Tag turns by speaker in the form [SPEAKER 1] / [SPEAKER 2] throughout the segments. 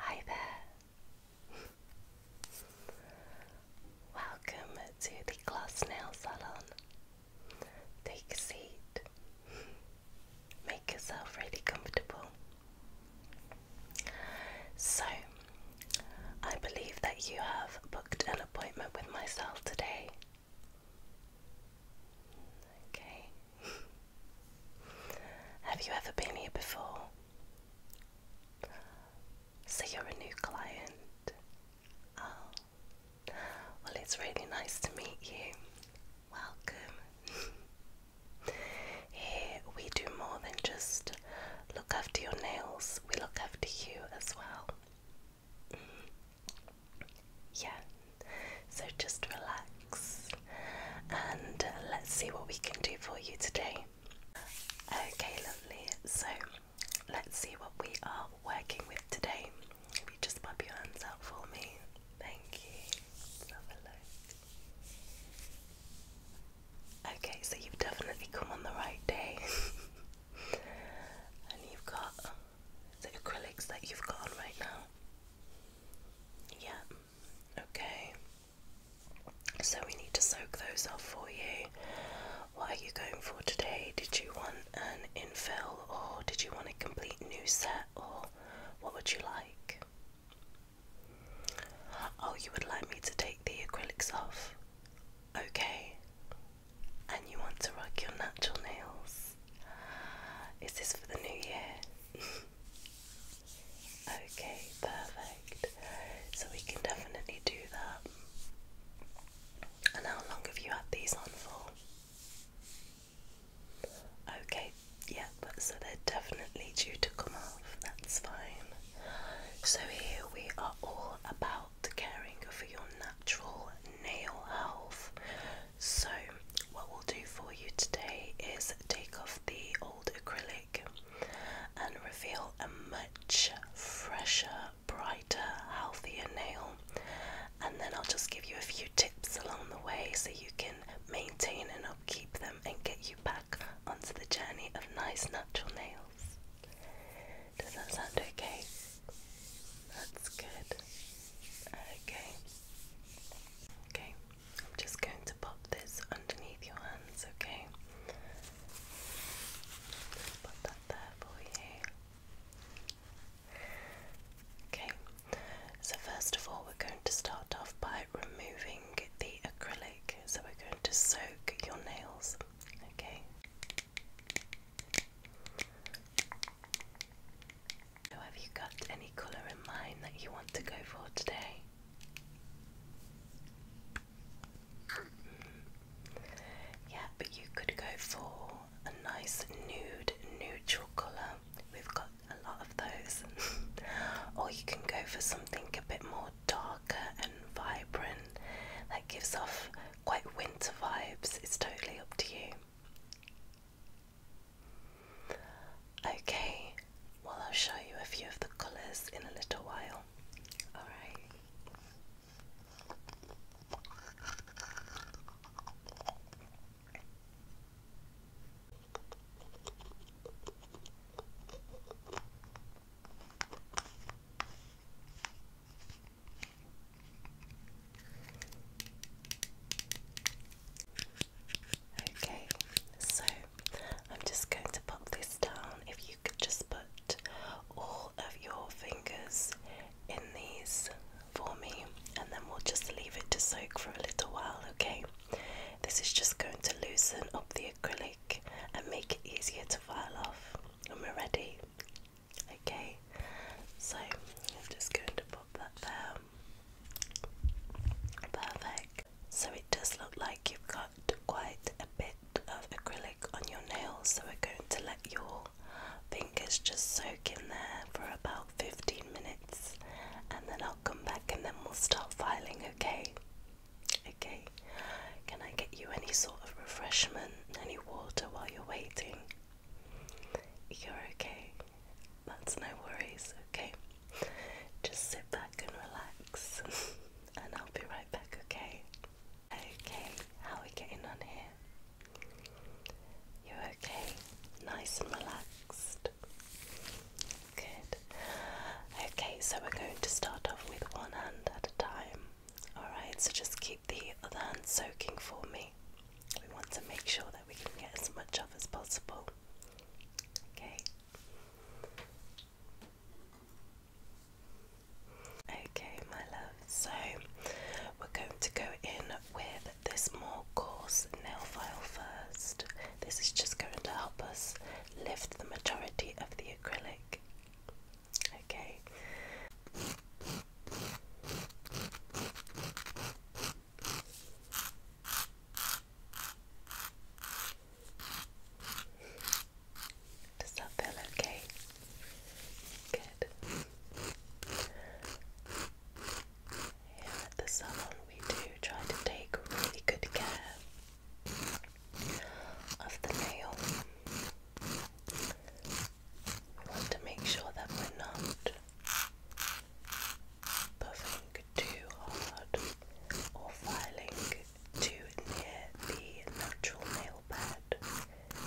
[SPEAKER 1] Hi there. Welcome to the Glass Nail Salon. Take a seat. Make yourself really comfortable. So, I believe that you have booked an appointment with myself today. Okay. have you ever been here before? So, you're a new client. Oh. Well, it's really nice to meet you. Welcome. Here we do more than just look after your nails, we look after you as well. Mm. Yeah, so just relax and uh, let's see what we can do for you today. Okay, lovely. So let's see what we are working with today. If you just pop your hands out for me. Thank you. Okay, so you've definitely come on the right day. and you've got the acrylics that you've got right now. Yeah, okay. So we need to soak those up for you. What are you going for today? Did you want an infill or did you want a complete new set or what would you like? Oh, you would like me to take the acrylics off? Okay. And you want to rock your natural nails? Is this for the new year? okay, perfect. So we can definitely do that. And how long have you had these on for? Okay, yeah, so they're definitely due to come off, that's fine. So here we are all about caring for your natural nail health. So what we'll do for you today is take off the old acrylic and reveal a much fresher brighter, healthier nail. And then I'll just give you a few tips along the way so you can maintain and upkeep them and get you back onto the journey of nice natural nails. Does that sound okay? That's good. Okay. Okay. I'm just going to pop this underneath your hands, okay? Okay, so first of all, we're going to start off by removing the acrylic. So we're going to soak your nails. Okay. So have you got any colour in mind that you want to go for today? Mm. Yeah, but you could go for a nice nude, neutral colour. We've got a lot of those. or you can go for something a bit more darker and vibrant that gives off quite winter vibes. It's totally up to you. Okay, well, I'll show you a few of the colours in a little while. Alright. Okay, so I'm just going to pop this down. If you could just put put all of your fingers in these for me, and then we'll just leave it to soak for a little while, okay? This is just going to loosen up the acrylic and make it easier to file off when we're ready, okay? So I'm just going to pop that there. Perfect. So it does look like you've got quite a bit of acrylic on your nails, so we're going to let your fingers just soak in there for about 15 minutes and then I'll come back and then we'll start filing, okay? Okay, can I get you any sort of refreshment, any water while you're waiting? You're okay, that's no worries, okay? Just sit back and relax, and I'll be right okay? Okay, how are we getting on here? You okay? Nice and relaxed. Good. Okay, so we're going to start off with one hand at a time. Alright, so just keep the other hand soaking for me. We want to make sure that we can get as much of as possible. Okay. Okay, my love, so we're going to go in with this more coarse nail file first. This is just going to help us lift the majority of the acrylic. Okay.
[SPEAKER 2] Does that feel
[SPEAKER 1] okay? Good. Here at the salon, we do try to take really good care of the nail. We want to make sure that we're not puffing too hard or filing to near the natural nail bed. There we go.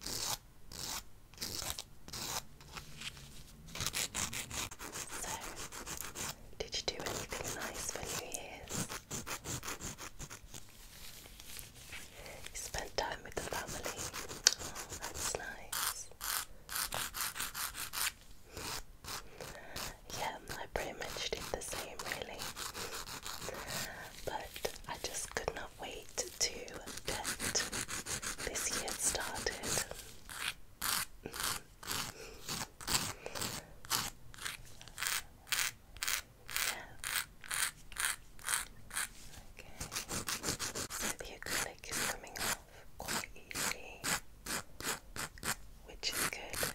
[SPEAKER 1] So, did you do anything nice for New Year's? You time with the family. Oh, that's nice. Yeah, I pretty much did the same really. But I just could not wait to get this year started. yeah. Okay. So the acrylic is coming off quite easily, which is good.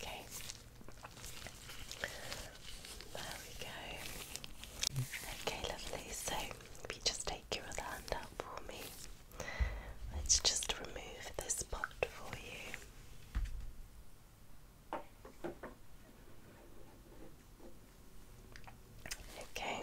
[SPEAKER 1] Okay. There we go. Okay, lovely. So if you just take your other hand out for me, let's just remove this pot for you. Okay,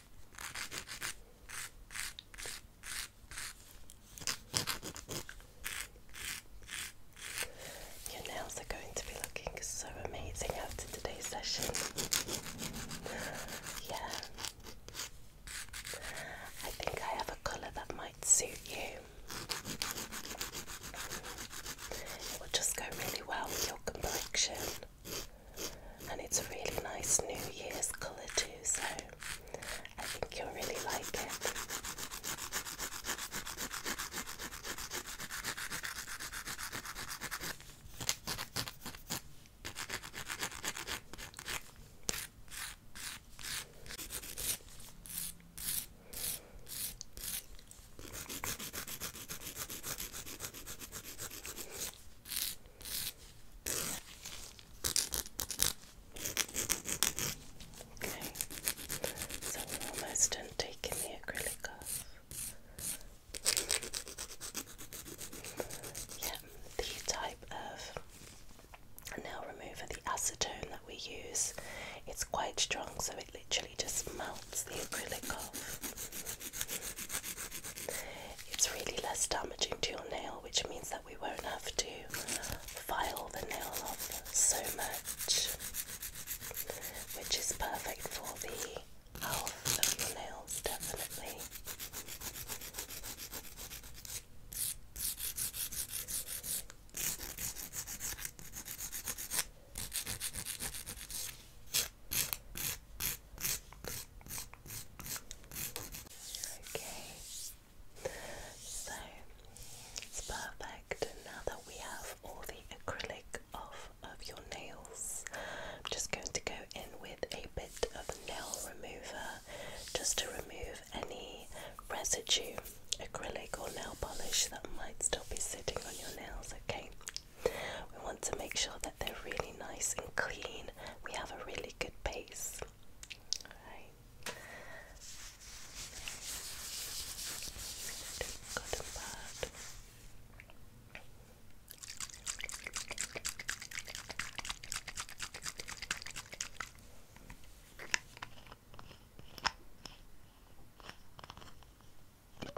[SPEAKER 1] Your nails are going to be looking so amazing after today's session. yeah. I think I have a colour that might suit you. It will just go really well with your complexion and it's a really nice New Year's colour too, so I think you'll really like it. Okay, so we're almost done taking the acrylic off. Yeah, the type of nail remover, the acetone that we use, it's quite strong, so it literally just melts the acrylic off it's really less damaging to your nail, which means that we won't have to file the nail off so much, which is perfect for the health of your nails, definitely. Okay, so it's perfect now that we have all the acrylic off of your nails. I'm just going to go in with a bit of nail remover just to remove any residue, acrylic or nail polish that might still be sitting on your nails. Okay, we want to make sure that they're really nice and clean. We have a really good base face. Alright. Good and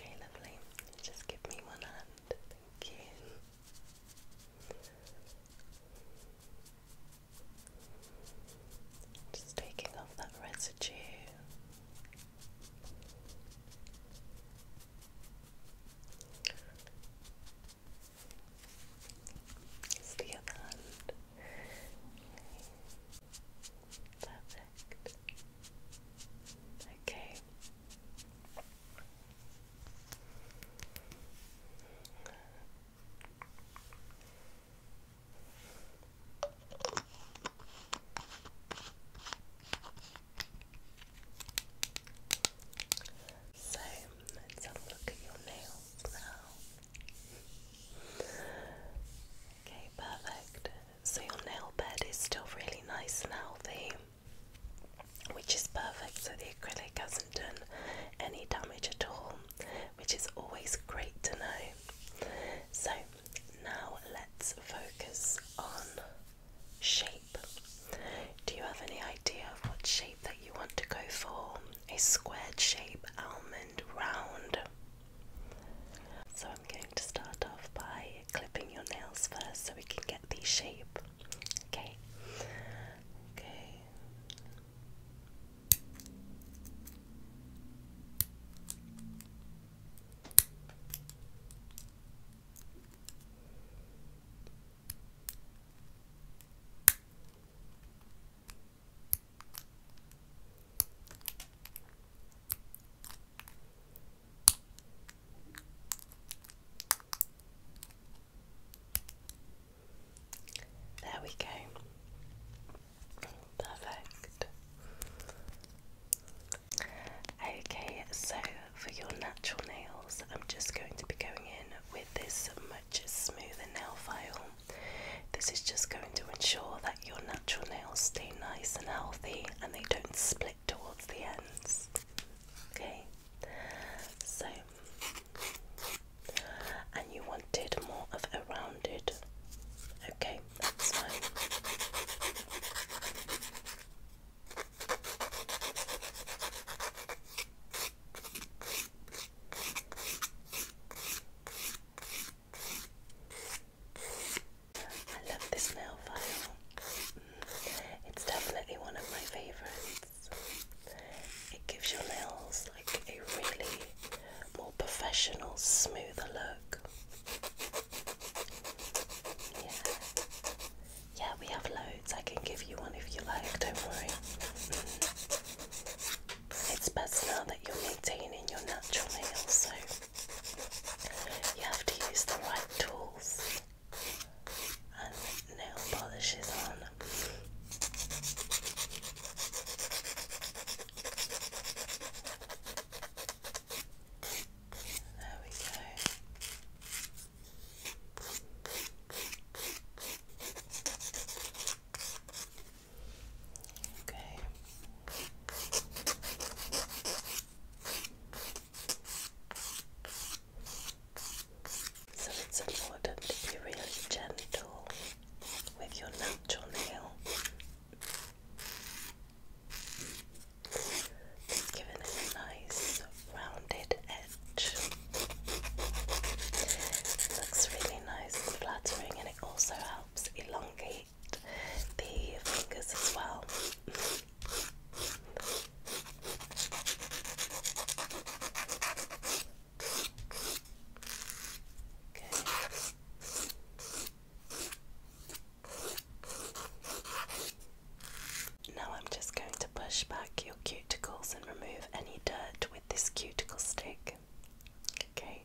[SPEAKER 1] Okay, lovely. Just give me one hand. Thank you. Just taking off that residue.
[SPEAKER 2] Steal the hand. Perfect. Okay.
[SPEAKER 1] So let's have a look at your nails now. Okay, perfect. So your nail bed is still really nice and healthy, which is perfect. So the acrylic hasn't done any damage at all, which is always great to know. So now let's focus on shape. Do you have any idea of what shape that you want to go for? A squared shape, almond, round. So I'm going to start off by clipping your nails first so we can get the shape. Okay. Okay. There we go. Perfect. Okay, so for your natural nails, I'm just going to be going in with this much smoother nail file. This is just going to ensure that your natural nails stay nice and healthy and they don't split towards the ends. Okay, so, and you wanted more of a rounded, okay, that's fine. I love this nail file. Mm. It's definitely one of my favourites. It gives your nails like a really more professional, smoother look. Yeah. Yeah, we have loads. I can give you one if you like, don't worry. Mm-hmm. It's best now that you're maintaining your natural nails, so you have to use the right tools and nail polishes on. There we go. Okay. So it's important to be really gentle with your natural nail giving it a nice rounded edge. It looks really nice and flattering, and it also helps elongate the fingers as well. Okay. Now I'm just going to push back your cuticles and remove any dirt with this cuticle stick. Okay.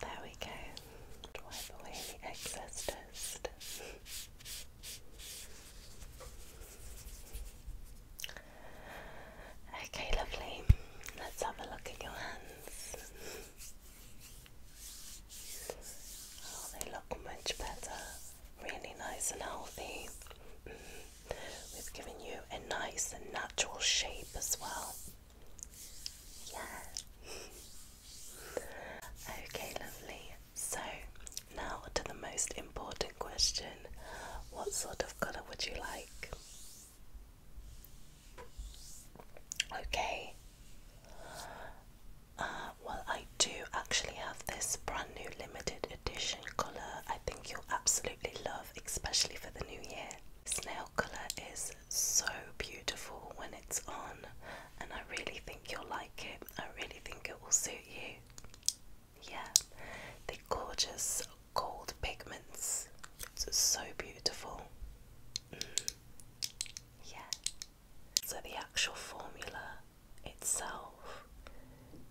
[SPEAKER 1] There we go. Wipe away the excess dust. Okay, lovely. Let's have a look at your hands. Oh, they look much better. Really nice and healthy. Mm. We've given you a nice and natural shape as well. Yeah. okay, lovely. So, now to the most important question What sort of colour would you like? Okay, uh, well, I do actually have this brand new limited edition colour I think you'll absolutely love, especially for the new year. This nail colour is so beautiful when it's on, and I really think you'll like it. I really think it will suit you. Yeah, the gorgeous gold pigments. It's so beautiful. Yeah. So the actual formula itself,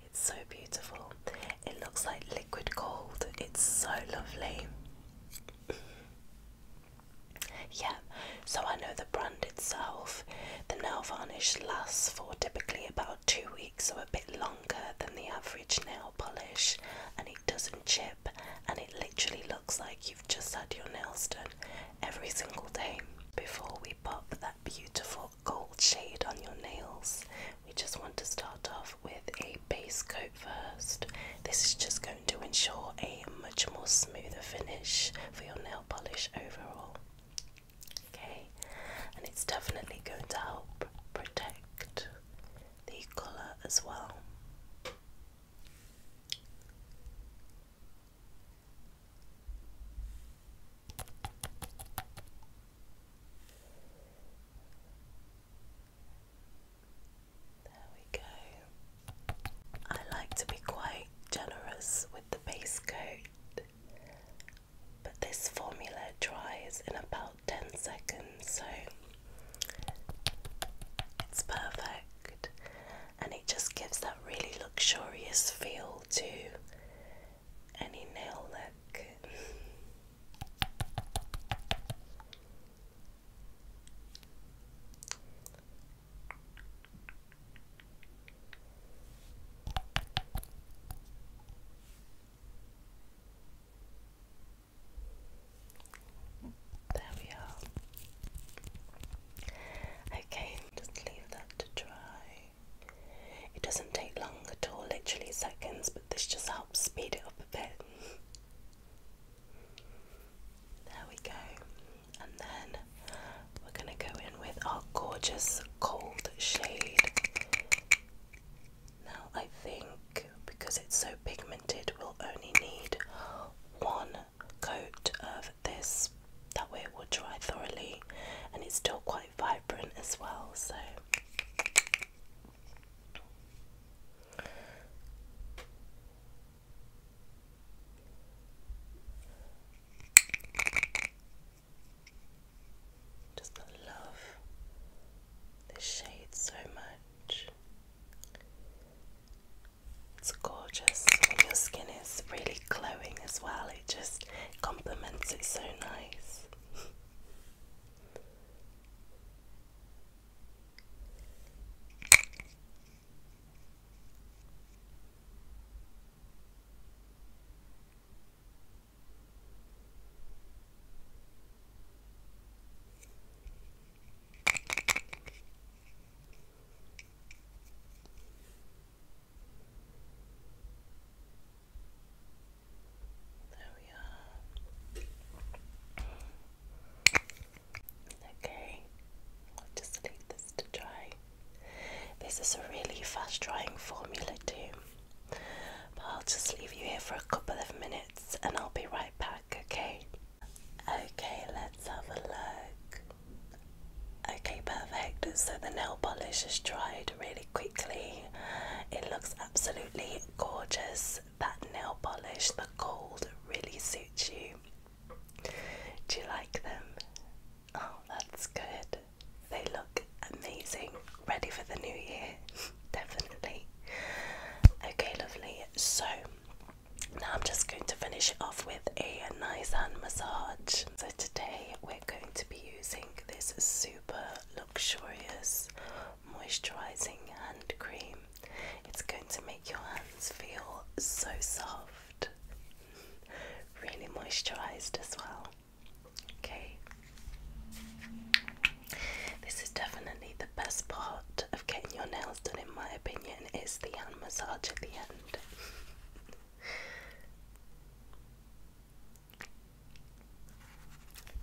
[SPEAKER 1] it's so beautiful. It looks like liquid gold. It's so lovely. yeah. So I know the brand itself. The nail varnish lasts for typically about two weeks, so a bit longer than the average nail polish, and it doesn't chip, and it literally looks like you just had your nails done every single day. Before we pop that beautiful gold shade on your nails, we just want to start off with a base coat first. This is just going to ensure a much more smoother finish for your nail polish overall. Okay, and it's definitely going to help protect the colour as well. There we go. I like to be quite generous with the base coat, but this formula dries in about 10 seconds, so it's perfect and it just gives that really luxurious feel to any nail look. There we are. Okay, just leave that to dry. It doesn't take long at all, literally seconds, but this just helps speed it up a bit. There we go. And then we're going to go in with our gorgeous cold shade. Now, I think because it's so pigmented we'll only need one coat of this that way it will dry thoroughly and it's still quite vibrant as well so just love this shade so much. It's gorgeous. When your skin is really glowing as well, it just complements it so nice. There we are. Okay, I'll just leave this to dry. This is a really fast drying formula, too. But I'll just leave you here for a couple of minutes and I'll be right back, okay? Okay, let's have a look. Okay, perfect. So the nail polish has dried really quickly. It looks absolutely gorgeous. That nail polish, the gold, really suits you. Do you like them? Oh, that's good. They look amazing. Ready for the new year definitely. Okay, lovely. So now I'm just going to finish it off with a nice hand massage. So today we're going to be using this super luxurious moisturizing hand cream. It's going to make your hands feel so soft, really moisturized as well. Okay. This is definitely the best part of getting your nails done, in my opinion, is the hand massage at the end.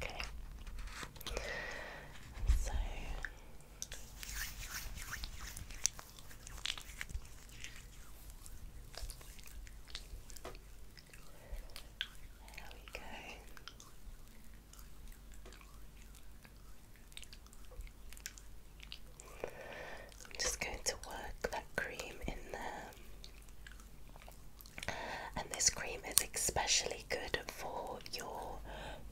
[SPEAKER 1] okay. So. There we go. I'm just going to work that cream in there. And this cream is especially good for your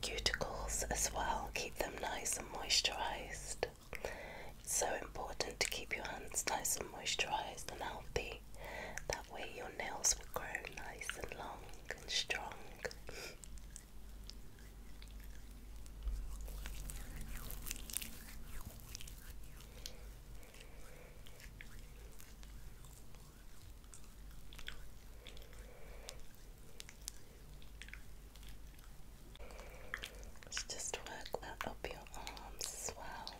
[SPEAKER 1] cuticles as well. Keep them nice and moisturized. It's so important to keep your hands nice and moisturized and healthy. That way your nails will grow nice and long and strong. Let's just work that up your arms as well.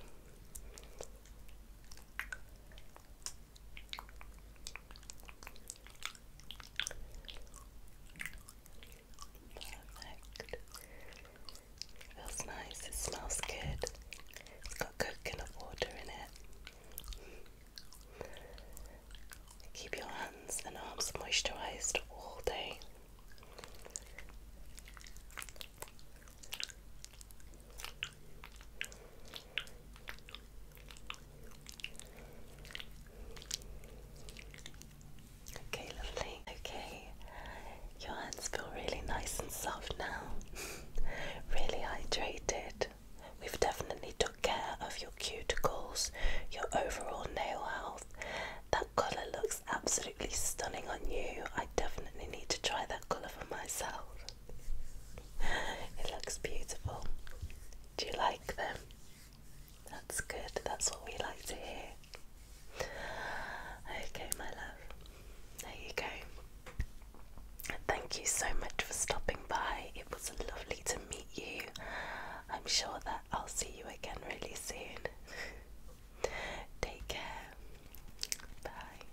[SPEAKER 1] Perfect. Feels nice, it smells good. It's got coconut water in it. Keep your hands and arms moisturized all day. Okay, lovely. Okay, your hands feel really nice and soft now. really hydrated. We've definitely took care of your cuticles, your overall nail health. That colour looks absolutely stunning on you. I definitely need to try that colour for myself. It looks beautiful. Do you like them? That's good, that's what we like to hear. Okay, my love, there you go. Thank you so much for stopping by. It was lovely to meet you. I'm sure that I'll see you again really soon. Take care. Bye.